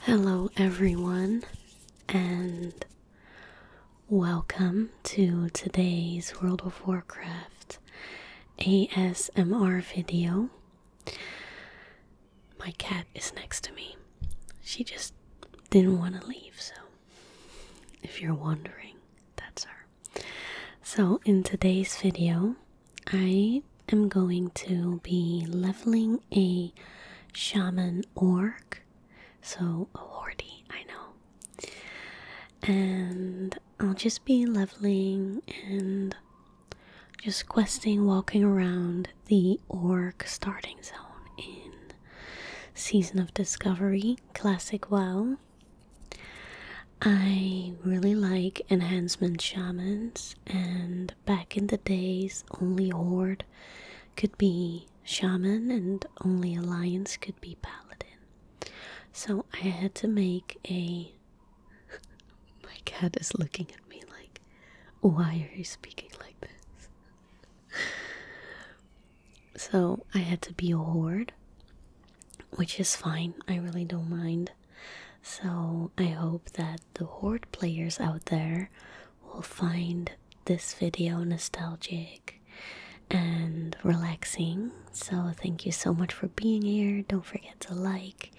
Hello, everyone, and welcome to today's World of Warcraft ASMR video. My cat is next to me. She just didn't want to leave, so if you're wondering, that's her. So, in today's video, I am going to be leveling a shaman orc. So, a wardy, I know. And I'll just be leveling and just questing, walking around the orc starting zone in Season of Discovery, Classic WoW. I really like enhancement shamans, and back in the days, only Horde could be shaman and only Alliance could be paladin. So I had to make a. My cat is looking at me like, why are you speaking like this? so I had to be a Horde, which is fine, I really don't mind. So I hope that the Horde players out there will find this video nostalgic and relaxing. So thank you so much for being here. Don't forget to like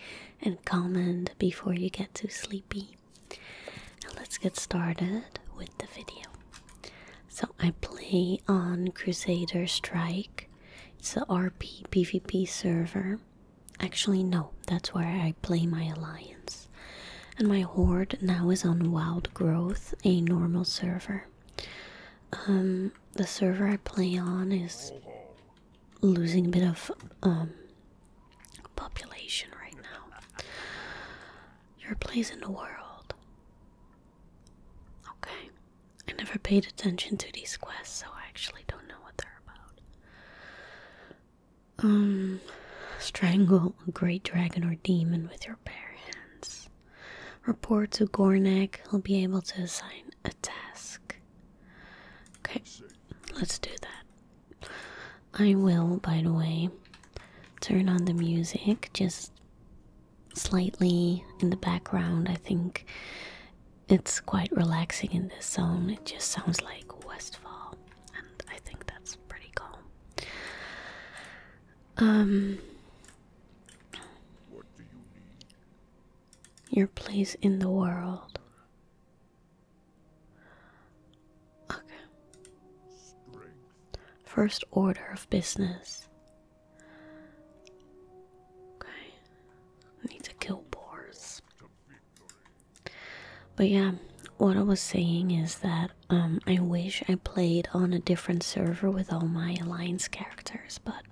and comment before you get too sleepy. Now let's get started with the video. So I play on Crusader Strike it's the RP PvP server. Actually, no, that's where I play my alliance. And my horde now is on Wild Growth, a normal server. Um, the server I play on is losing a bit of um population right now. Your place in the world. Okay. I never paid attention to these quests, so I actually don't know what they're about. Um, strangle a great dragon or demon with your bare hands. Report to Gornak, he'll be able to assign a task. Okay, let's do that. I will, by the way, turn on the music just slightly in the background. I think it's quite relaxing in this zone, it just sounds like Westfall, and I think that's pretty calm. Um, Your place in the world. Okay. First order of business. Okay. Need to kill boars. But yeah, what I was saying is that um, I wish I played on a different server with all my alliance characters, but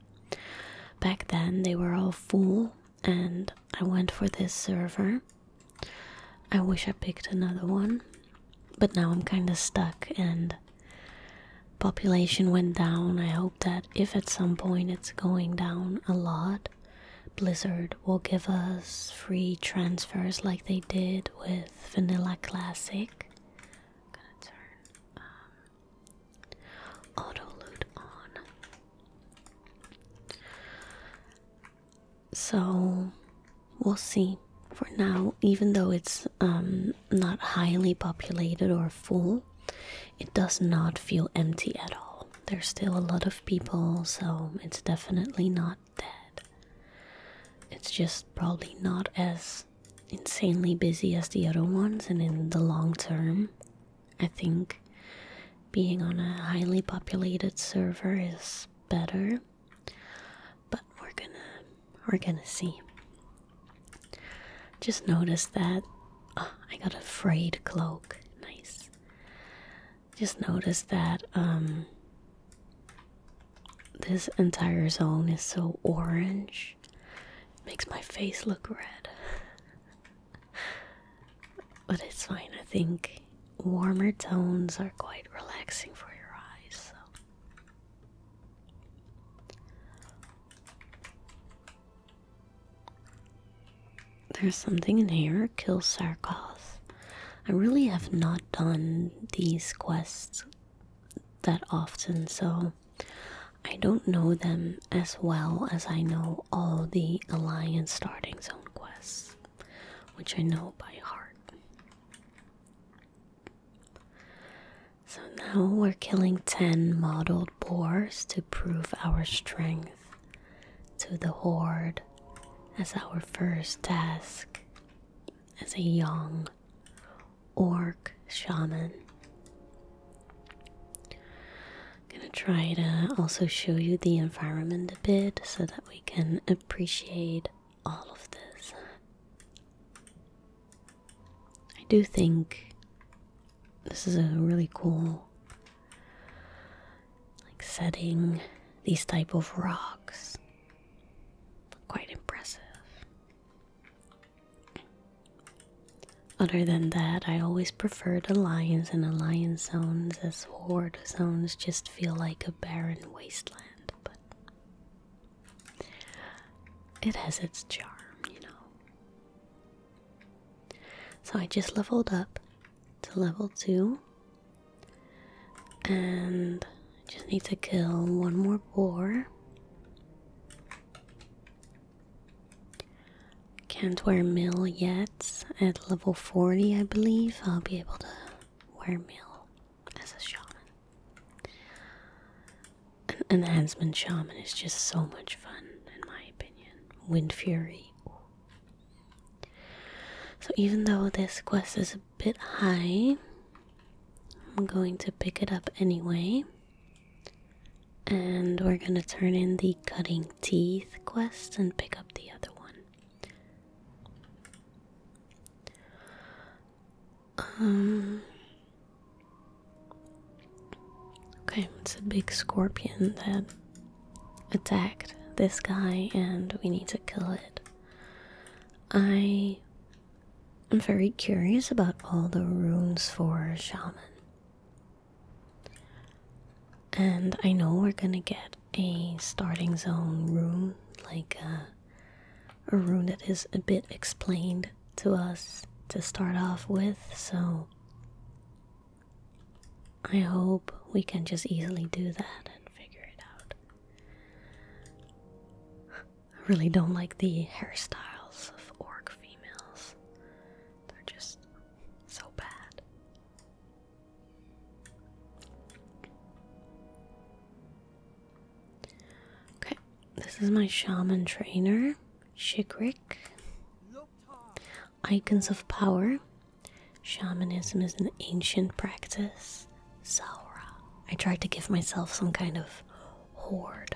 back then they were all full and I went for this server. I wish I picked another one, but now I'm kind of stuck and population went down. I hope that if at some point it's going down a lot, Blizzard will give us free transfers like they did with Vanilla Classic. gonna turn um, auto loot on. So we'll see. For now, even though it's um, not highly populated or full, it does not feel empty at all. There's still a lot of people, so it's definitely not dead. It's just probably not as insanely busy as the other ones, and in the long term, I think being on a highly populated server is better. But we're gonna we're gonna see. Just notice that uh, I got a frayed cloak. Nice. Just notice that um, this entire zone is so orange. makes my face look red. but it's fine. I think warmer tones are quite relaxing for your eyes. There's something in here. Kill Sarkoth. I really have not done these quests that often, so I don't know them as well as I know all the Alliance Starting Zone quests, which I know by heart. So now we're killing 10 mottled boars to prove our strength to the horde as our first task as a young orc shaman. I'm gonna try to also show you the environment a bit so that we can appreciate all of this. I do think this is a really cool like setting these type of rocks quite impressive other than that i always preferred lions and alliance zones as horde zones just feel like a barren wasteland but it has its charm you know so I just leveled up to level 2. And just need to kill one more boar. Can't wear mail yet. At level 40, I believe, I'll be able to wear mail as a shaman an enhancement shaman is just so much fun, in my opinion. Wind Fury. So, even though this quest is a bit high, I'm going to pick it up anyway. And we're gonna turn in the cutting teeth quest and pick up the other one. Um, Okay, it's a big scorpion that attacked this guy, and we need to kill it. I am very curious about all the runes for shaman. And I know we're gonna get a starting zone rune, like a, uh, a rune that is a bit explained to us to start off with, so I hope we can just easily do that and figure it out. I really don't like the hairstyles of orc females. They're just so bad. Okay, this is my shaman trainer. Shikrik. Icons of power. Shamanism is an ancient practice. Saura. I tried to give myself some kind of horde.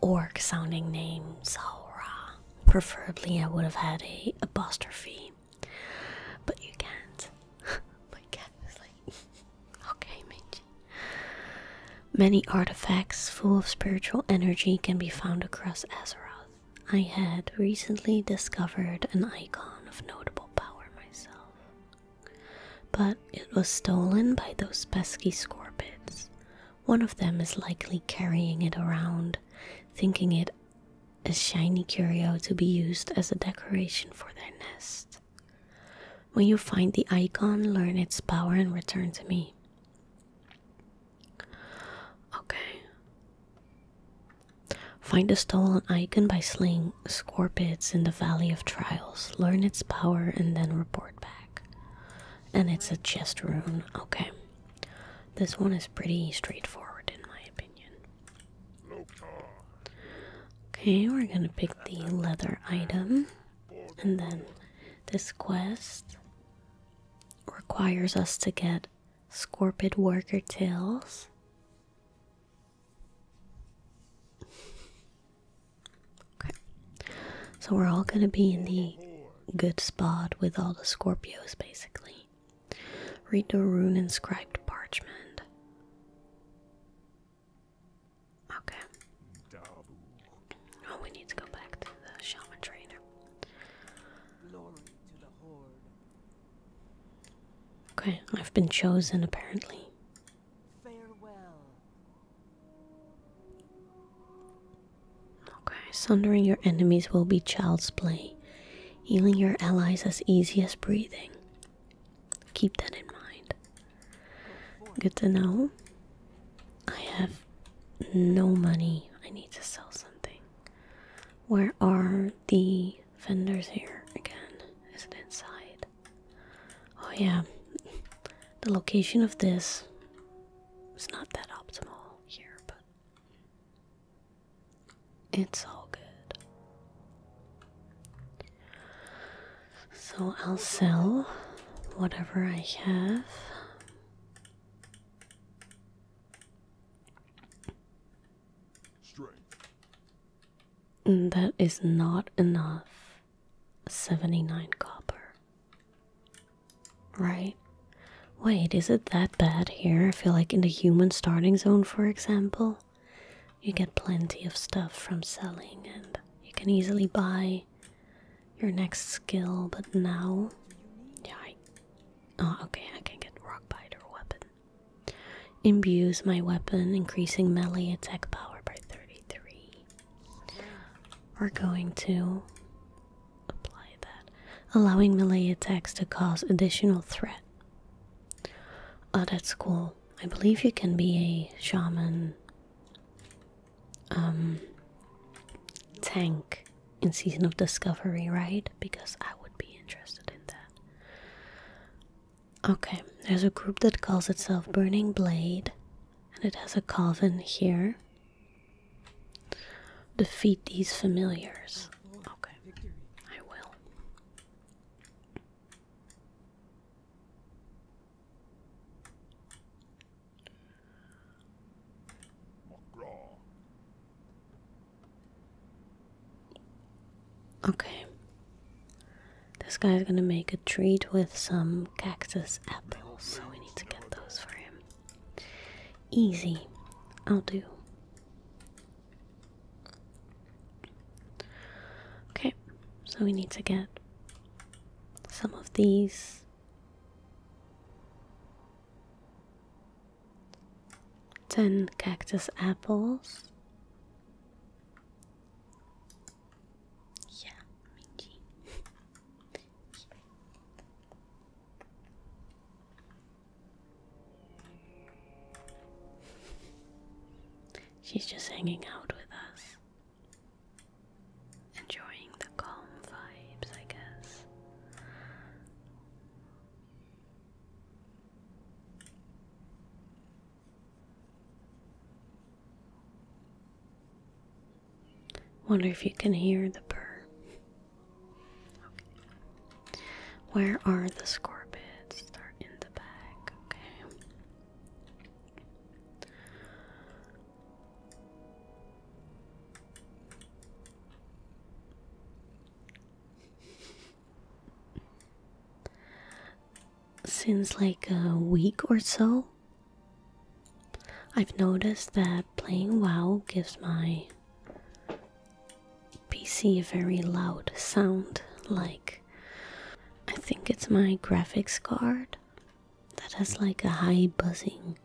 Orc sounding name. Saura. Preferably, I would have had a apostrophe. But you can't. My cat is like, okay, Minji. Many artifacts full of spiritual energy can be found across Azeroth. I had recently discovered an icon of notable power myself, but it was stolen by those pesky scorpids. One of them is likely carrying it around, thinking it a shiny curio to be used as a decoration for their nest. When you find the icon, learn its power and return to me. Okay. Find a stolen icon by slaying scorpids in the Valley of Trials. Learn its power and then report back. And it's a chest rune. Okay. This one is pretty straightforward in my opinion. Okay, we're gonna pick the leather item. And then this quest requires us to get Scorpid Worker Tails. Okay. So we're all gonna be in the good spot with all the Scorpios basically. Read the rune inscribed parchment. Okay. Oh, we need to go back to the shaman trainer. Okay, I've been chosen apparently. Farewell. Okay, sundering your enemies will be child's play. Healing your allies as easy as breathing. Keep that in mind. Good to know. I have no money. I need to sell something. Where are the vendors here again? Is it inside? Oh, yeah. The location of this is not that optimal here, but it's all good. So I'll sell whatever I have. That is not enough. 79 copper. Right? Wait, is it that bad here? I feel like in the human starting zone, for example, you get plenty of stuff from selling and you can easily buy your next skill, but now, yeah, oh, okay, I can get rock weapon. Imbues my weapon, increasing melee attack power by 33. We're going to apply that, allowing melee attacks to cause additional threat. Oh, that's cool. I believe you can be a shaman um tank in Season of Discovery, right? Because I would be interested in that. Okay, there's a group that calls itself Burning Blade, and it has a Calvin here. Defeat these familiars. Okay, I will. Okay. This guy's gonna make a treat with some cactus apples, so we need to get those for him. Easy. I'll do. Okay, so we need to get some of these 10 cactus apples. Yeah, mingy. She's just hanging out with us. Enjoying the calm vibes, I guess. Wonder if you can hear the purr. Okay. Where are the scorbits? They're in the back. Okay. Since like a week or so, I've noticed that playing WoW gives my PC a very loud sound. Like, I think it's my graphics card that has like a high buzzing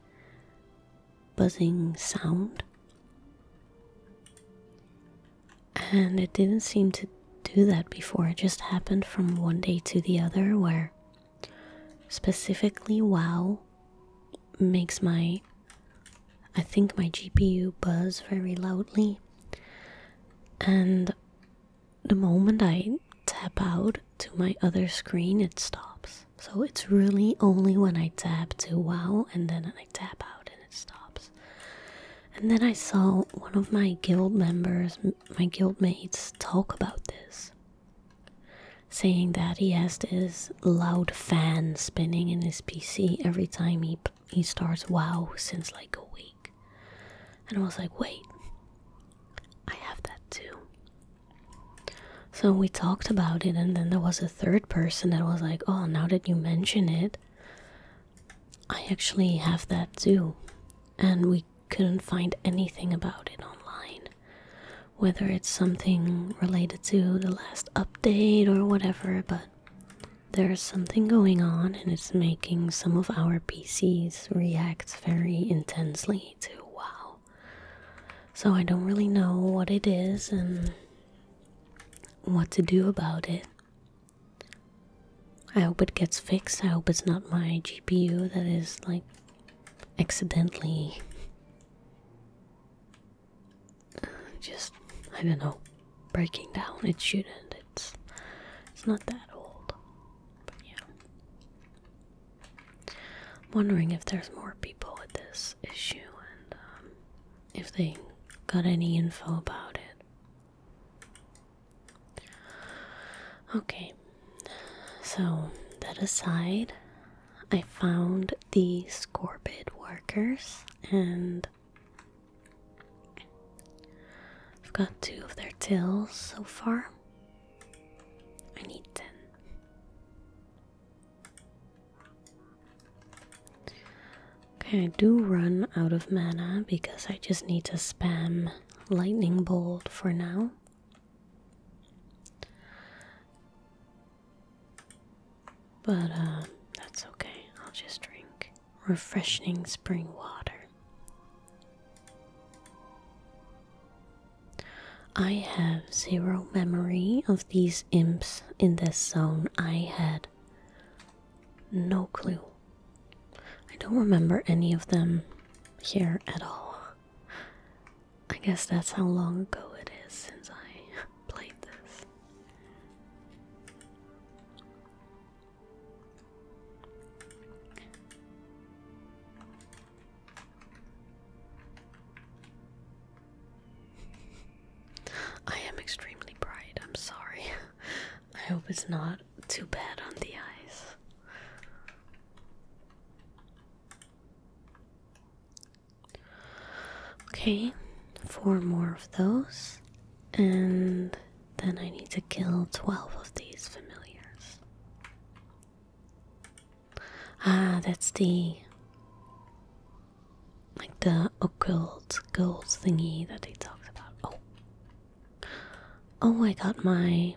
buzzing sound and it didn't seem to do that before it just happened from one day to the other where specifically wow makes my i think my gpu buzz very loudly and the moment I tap out to my other screen, it stops. So it's really only when I tap to wow and then I tap out and it stops. And then I saw one of my guild members, my guild mates, talk about this, saying that he has this loud fan spinning in his PC every time he he starts WoW since like a week. And I was like, wait, I have that too. So we talked about it, and then there was a third person that was like, Oh, now that you mention it, I actually have that too. And we couldn't find anything about it online. Whether it's something related to the last update or whatever, but there's something going on, and it's making some of our PCs react very intensely to wow. So I don't really know what it is and what to do about it. I hope it gets fixed. I hope it's not my GPU that is like accidentally just I don't know breaking down. It shouldn't. It's it's not that old. But yeah wondering if there's more people with this issue and um, if they got any info about it. Okay, so that aside, I found the Scorbid workers and I've got two of their tills so far. I need ten. Okay, I do run out of mana because I just need to spam lightning bolt for now. But uh that's okay. I'll just drink refreshing spring water. I have zero memory of these imps in this zone. I had no clue. I don't remember any of them here at all. I guess that's how long ago it is since I played this. I am extremely bright, I'm sorry. I hope it's not too bad on the eyes. Okay, four more of those, and then I need to kill 12 of these familiars. Ah, that's the like the occult gold thingy that they talked about. Oh, oh, I got my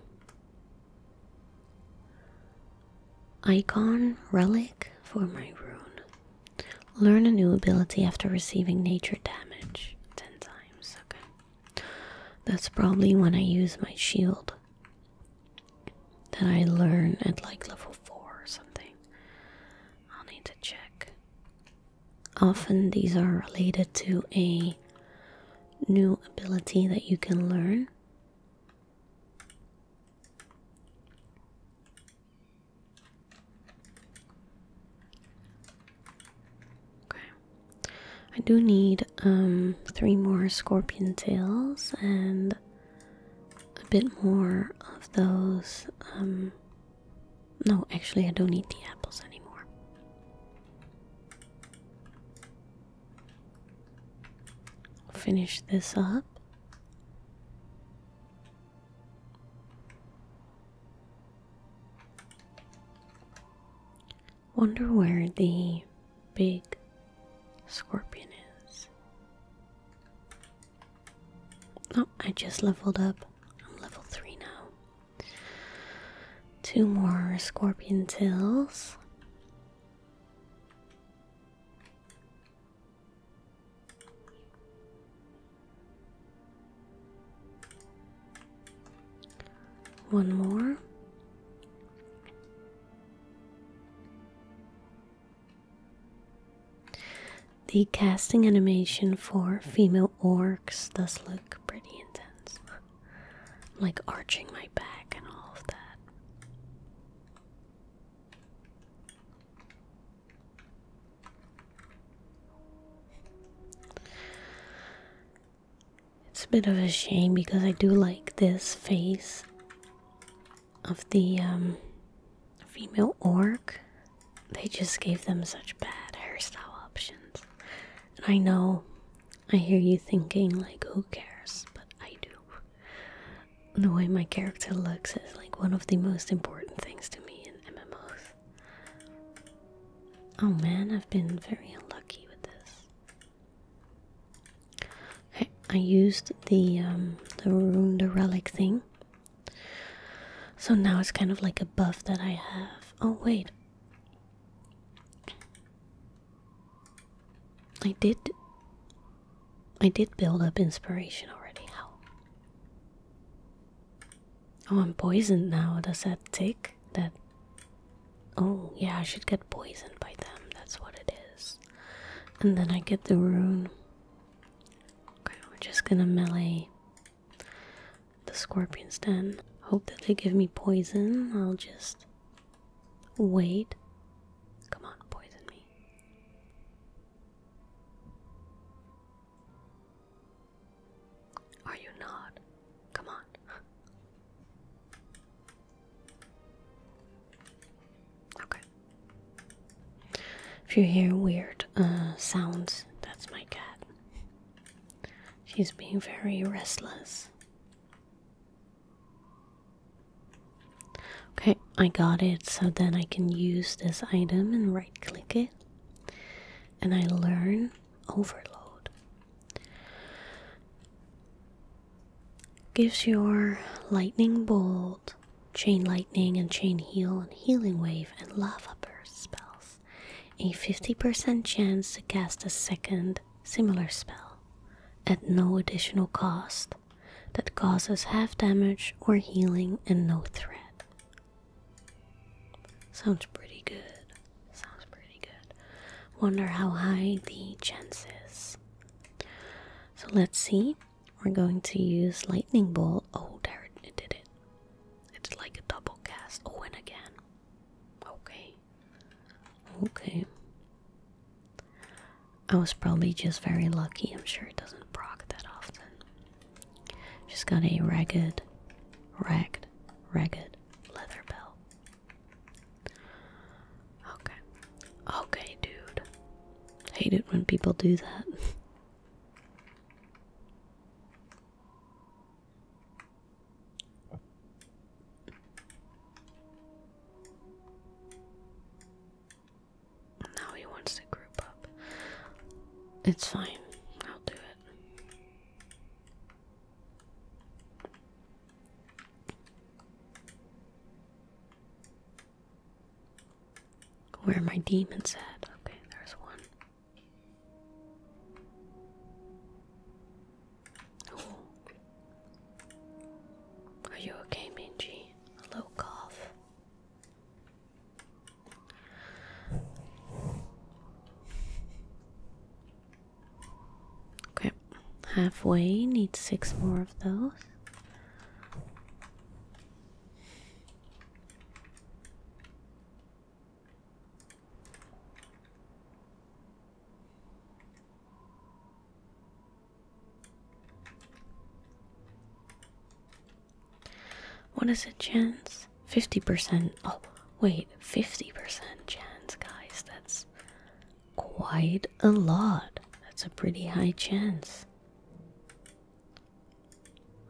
icon relic for my rune. Learn a new ability after receiving nature damage ten times. Okay. That's probably when I use my shield that I learn at like level 4 or something. I'll need to check. Often these are related to a new ability that you can learn. Okay. I do need um, three more scorpion tails and a bit more of those um, no actually I don't need the apples anymore. finish this up. Wonder where the big scorpion is. Oh, I just leveled up. I'm level 3 now. Two more scorpion tails. One more. The casting animation for female orcs does look pretty intense. like arching my back and all of that. It's a bit of a shame because I do like this face of the um, female orc. They just gave them such bad hairstyle options. I know, I hear you thinking, like, who cares? But I do. The way my character looks is like one of the most important things to me in MMOs. Oh man, I've been very unlucky with this. Okay, I used the um, the rune, the relic thing. So now it's kind of like a buff that I have. Oh wait, I did. I did build up inspiration already. How? Oh, I'm poisoned now. Does that tick? That Oh, yeah, I should get poisoned by them. That's what it is. And then I get the rune. Okay, we're just gonna melee the scorpions then. Hope that they give me poison. I'll just wait. Come on, poison me. Are you not? Come on. Okay. If you hear weird uh, sounds, that's my cat. She's being very restless. Okay, I got it. So then I can use this item and right click it. And I learn overload. Gives your lightning bolt, chain lightning, and chain heal, and healing wave, and lava burst spells a 50% chance to cast a second similar spell at no additional cost that causes half damage or healing and no threat. Sounds pretty good. Sounds pretty good. Wonder how high the chance is. So let's see. We're going to use lightning bolt. Oh, there it did it. It's like a double cast. Oh, and again. Okay. Okay. I was probably just very lucky. I'm sure it doesn't proc that often. Just got a ragged, ragged, ragged leather belt. Okay. Okay, dude. Hate it when people do that. now he wants to group up. It's fine. I'll do it. Where my demon said, Okay, there's one. Are you okay, Mingy? A low cough. Okay, halfway, need six more of those. What is a chance? 50%. Oh, wait, 50% chance, guys. That's quite a lot. That's a pretty high chance.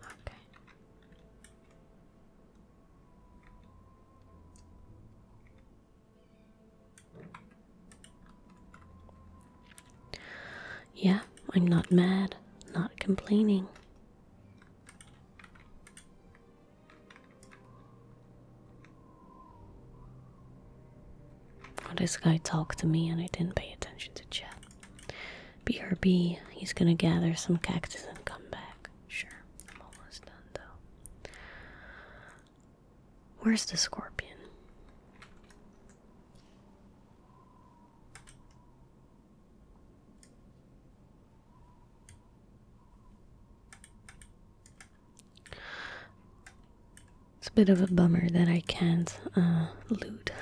Okay. Yeah, I'm not mad, not complaining this guy talked to me and I didn't pay attention to chat. BRB, he's gonna gather some cactus and come back. Sure, I'm almost done though. Where's the scorpion? It's a bit of a bummer that I can't uh, loot.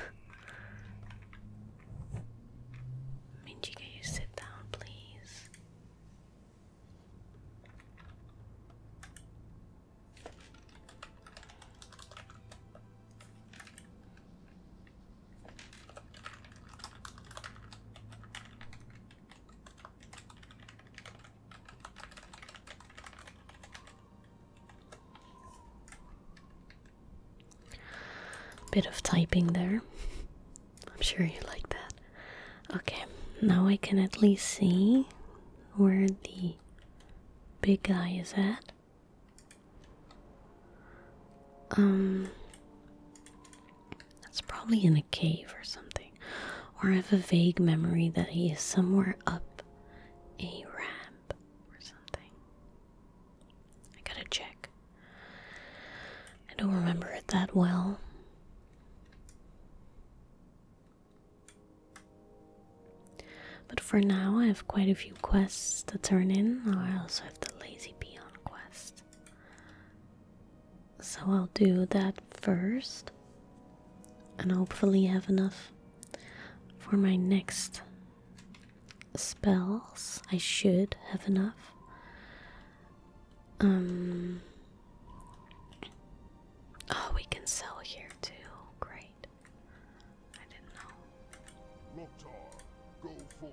Minji, can you sit down, please? Bit of typing there. I'm sure you like that. Okay, now I can at least see where the big guy is at. Um that's probably in a cave or something. Or I have a vague memory that he is somewhere up a ramp or something. I gotta check. I don't remember it that well. But for now, I have quite a few quests to turn in. I also have the Lazy Bee on quest. So I'll do that first and hopefully have enough for my next spells. I should have enough. Um, oh, we can sell here too. Great. I didn't know.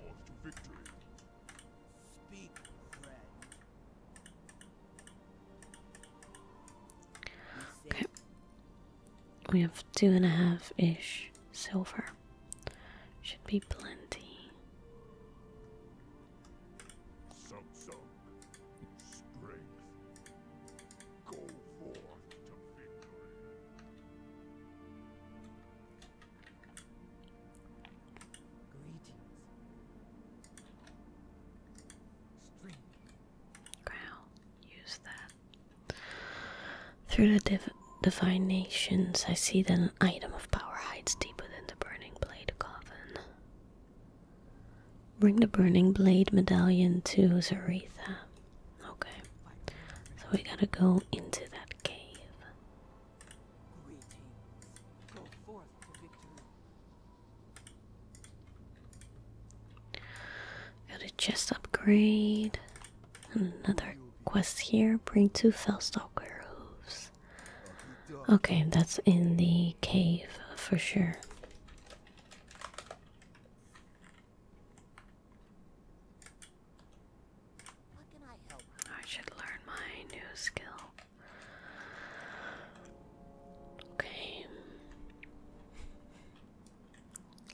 Okay. We have two and a half ish silver. Should be plenty. Use that. Through the div divinations, I see that an item of power hides deeper than the burning blade coffin. Bring the burning blade medallion to Zaretha. Okay. So we gotta go into that cave. Got a chest upgrade. And another quest here. Bring two Fellstalker hooves. Okay, that's in the cave for sure. I should learn my new skill. Okay.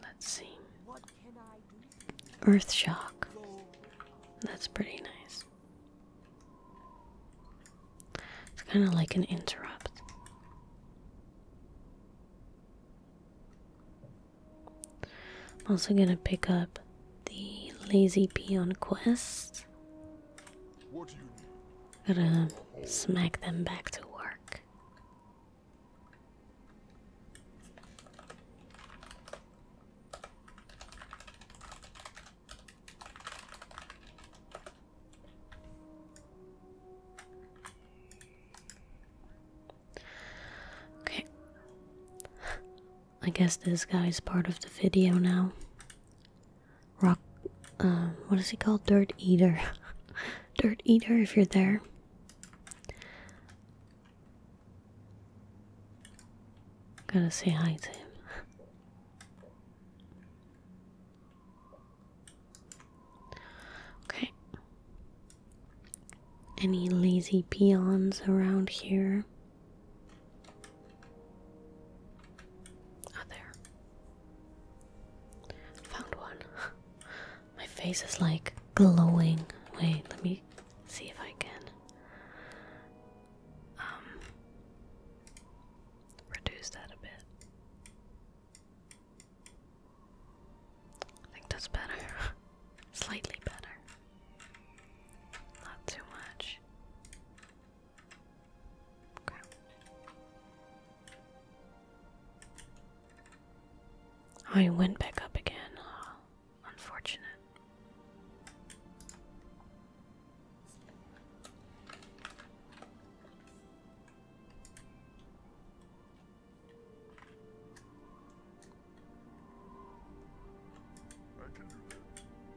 Let's see. Earth shock. That's pretty nice. It's kind of like an interrupt. I'm also gonna pick up the lazy peon quest what Gotta smack them back to work. Okay. I guess this guy's part of the video now. Rock, uh, what is he called? Dirt Eater. Dirt Eater, if you're there. Gotta say hi to him. okay. Any lazy peons around here? Ah, there. Found one. My face is like glowing. Wait, let me see if I can. Um, reduce that a bit. I think that's better. Slightly better. Not too much. I oh, went back up again. unfortunate.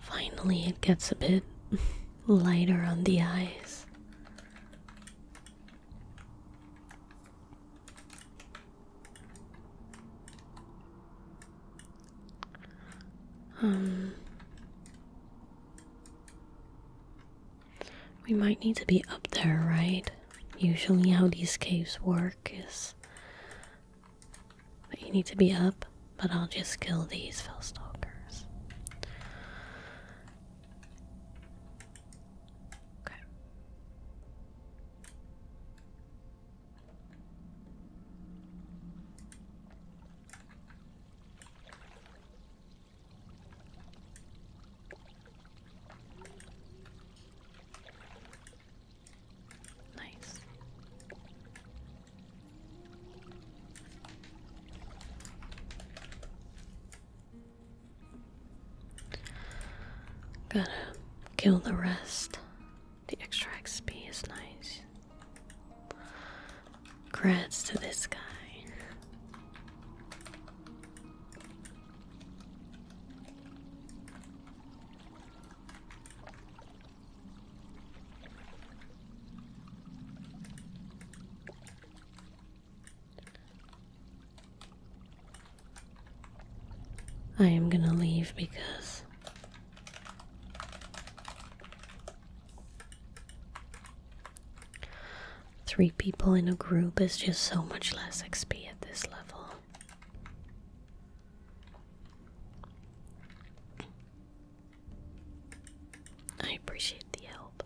Finally, it gets a bit lighter on the eyes. Um, we might need to be up there, right? Usually, how these caves work is you need to be up, but I'll just kill these Fellstalkers. Okay. Nice. Gotta kill the rest. The extra XP is nice. Credits to this guy. I am going to leave because three people in a group is just so much less XP at this level. I appreciate the help.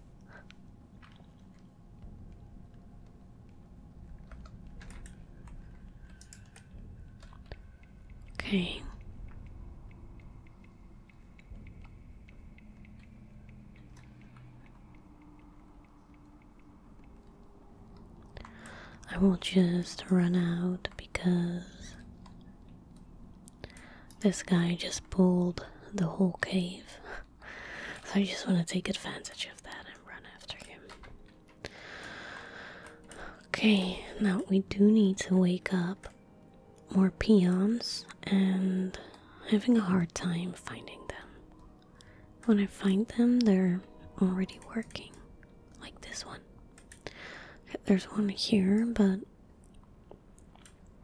Okay. I will just run out because this guy just pulled the whole cave. so I just want to take advantage of that and run after him. Okay, now we do need to wake up more peons and having a hard time finding them. When I find them, they're already working, like this one. There's one here, but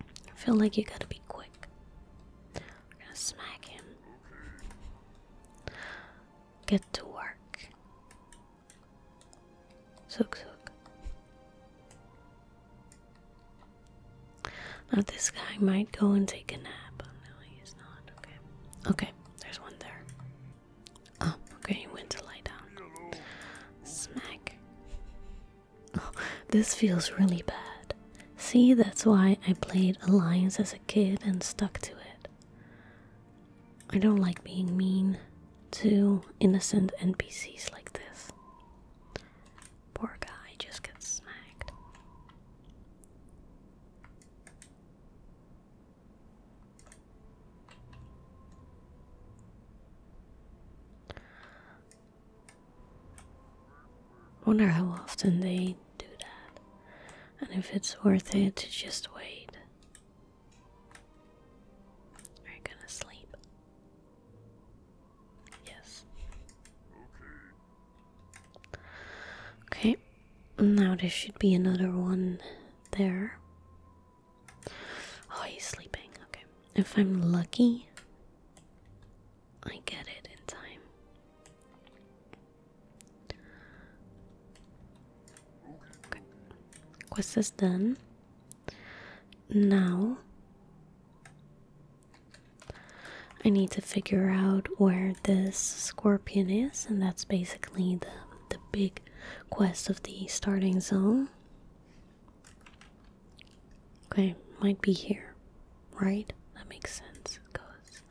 I feel like you gotta be quick. We're gonna smack him. Get to work. Suck suck. Now this guy might go and take a nap. Oh, no, he's not. Okay. Okay, there's one there. Up. Oh, okay, went to lie down. Smack. Oh, this feels really bad. See, that's why I played Alliance as a kid and stuck to it. I don't like being mean to innocent NPCs like this. Poor guy just gets smacked. Wonder how often they do that, and if it's worth it to just wait. Are you gonna sleep? Yes. Okay. Okay. Now there should be another one there. Oh, he's sleeping. Okay. If I'm lucky, I get it in time. Okay. Quest is done. Now, I need to figure out where this scorpion is, and that's basically the the big quest of the starting zone. Okay, might be here, right? That makes sense. It goes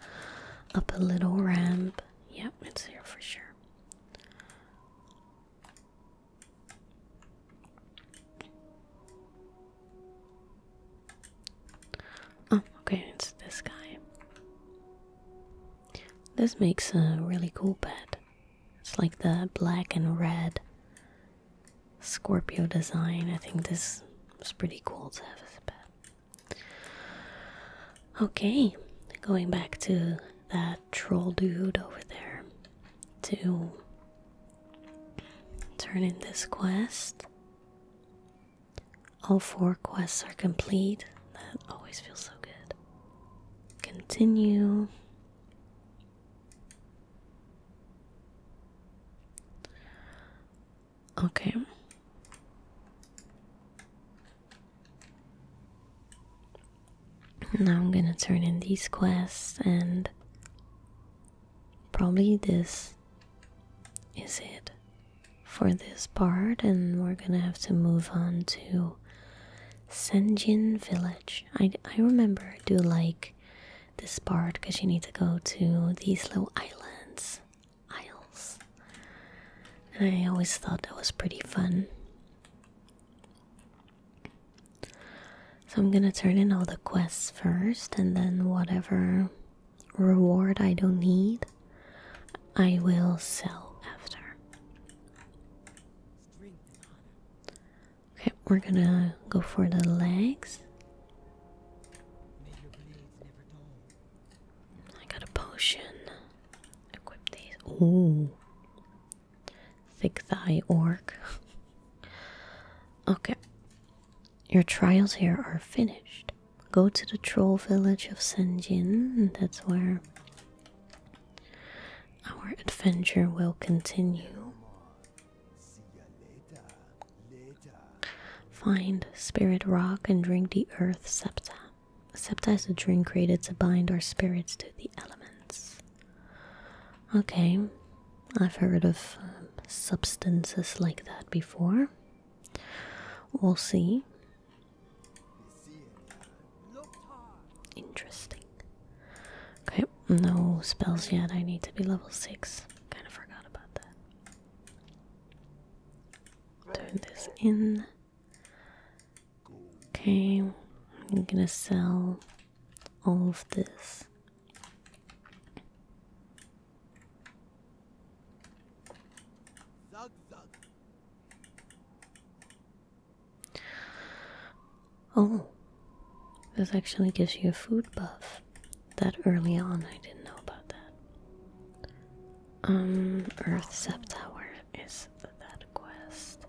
up a little ramp. Yep, it's here for sure. Oh, okay, it's this guy. This makes a really cool pet. It's like the black and red Scorpio design. I think this is pretty cool to have as a Okay, going back to that troll dude over there to turn in this quest. All four quests are complete. That always feels so good. Continue. Okay. Now I'm gonna turn in these quests and probably this is it for this part and we're gonna have to move on to Senjin Village. I, I remember do like this part because you need to go to these little islands, isles. And I always thought that was pretty fun. So I'm gonna turn in all the quests first, and then whatever reward I don't need, I will sell after. Okay, we're gonna go for the legs. I got a potion. Equip these. Ooh. Thick thigh orc. okay. Your trials here are finished. Go to the troll village of Senjin. That's where our adventure will continue. Find Spirit Rock and drink the Earth Septa. Septa is a drink created to bind our spirits to the elements. Okay, I've heard of um, substances like that before. We'll see. Interesting. Okay, no spells yet. I need to be level 6. Kind of forgot about that. Turn this in. Okay, I'm gonna sell all of this. Oh, this actually gives you a food buff. That early on, I didn't know about that. Um, Earth Sep Tower is that quest.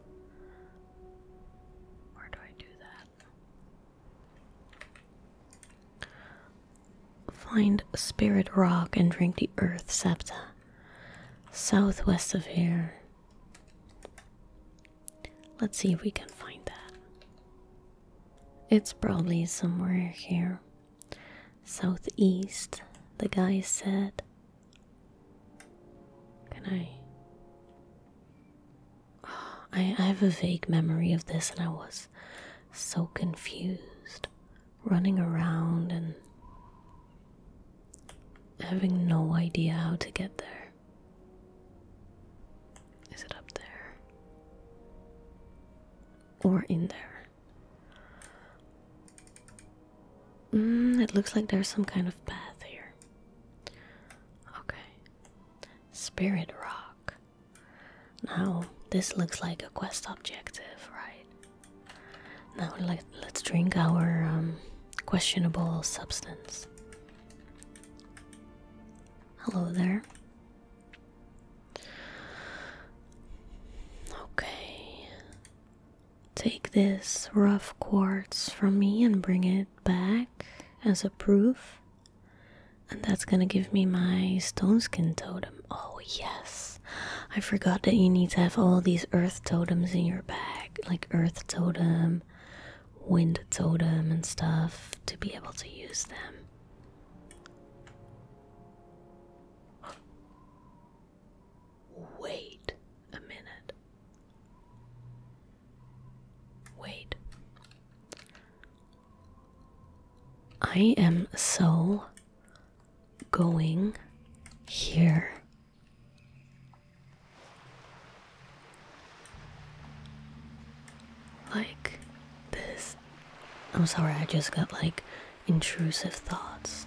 Where do I do that? Find Spirit Rock and drink the Earth Septa southwest of here. Let's see if we can find that. It's probably somewhere here. Southeast, the guy said. Can I? I, I have a vague memory of this, and I was so confused running around and having no idea how to get there. Is it up there? Or in there? Mm, it looks like there's some kind of path here. Okay. Spirit Rock. Now, this looks like a quest objective, right? Now let, us drink our um, questionable substance. Hello there. Okay. Take this rough quartz from me and bring it back as a proof. And that's gonna give me my stone skin totem. Oh, yes. I forgot that you need to have all these earth totems in your bag, like earth totem, wind totem, and stuff, to be able to use them. Wait a minute. Wait. I am so going here like this. I'm sorry, I just got like intrusive thoughts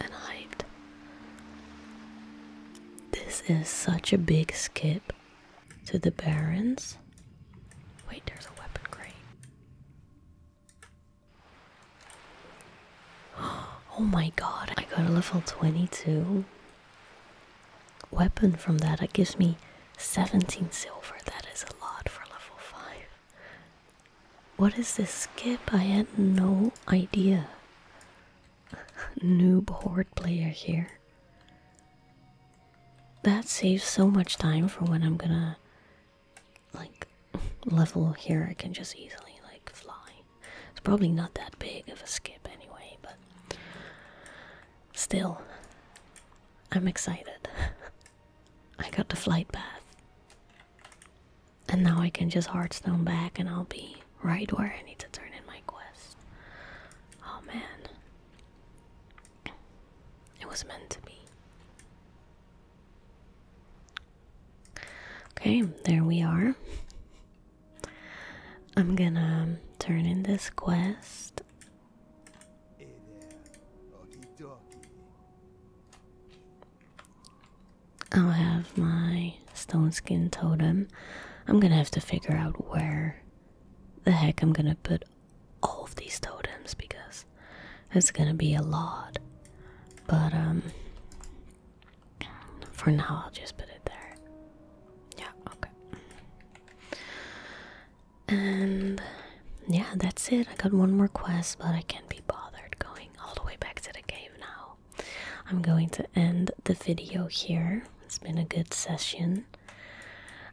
and hyped. This is such a big skip to the Barons. Wait, there's a weapon crate. Oh my god, I got a level 22 weapon from that. It gives me 17 silver. That is a lot for level 5. What is this skip? I had no idea. Noob horde player here. That saves so much time for when I'm gonna like level here I can just easily like fly. It's probably not that big of a skip anyway, but still, I'm excited. I got the flight path. And now I can just Hearthstone back and I'll be right where I need to turn in my quest. Oh man. It was meant to be. Okay, there we are. I'm gonna turn in this quest. I'll have my stone skin totem. I'm gonna have to figure out where the heck I'm gonna put all of these totems because it's gonna be a lot. But, um, for now, I'll just put it there. Yeah, okay. And yeah, that's it. I got one more quest, but I can't be bothered going all the way back to the cave now. I'm going to end the video here. It's been a good session.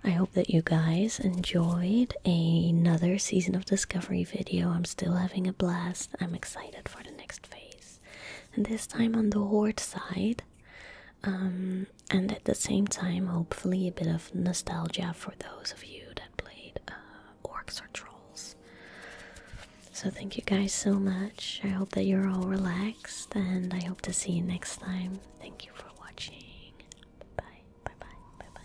I hope that you guys enjoyed another season of Discovery video. I'm still having a blast. I'm excited for the next next phase, and this time on the horde side. Um, and at the same time, hopefully, a bit of nostalgia for those of you that played uh, orcs or trolls. So, thank you guys so much. I hope that you're all relaxed, and I hope to see you next time. Thank you for watching. Bye bye. Bye bye. Bye bye.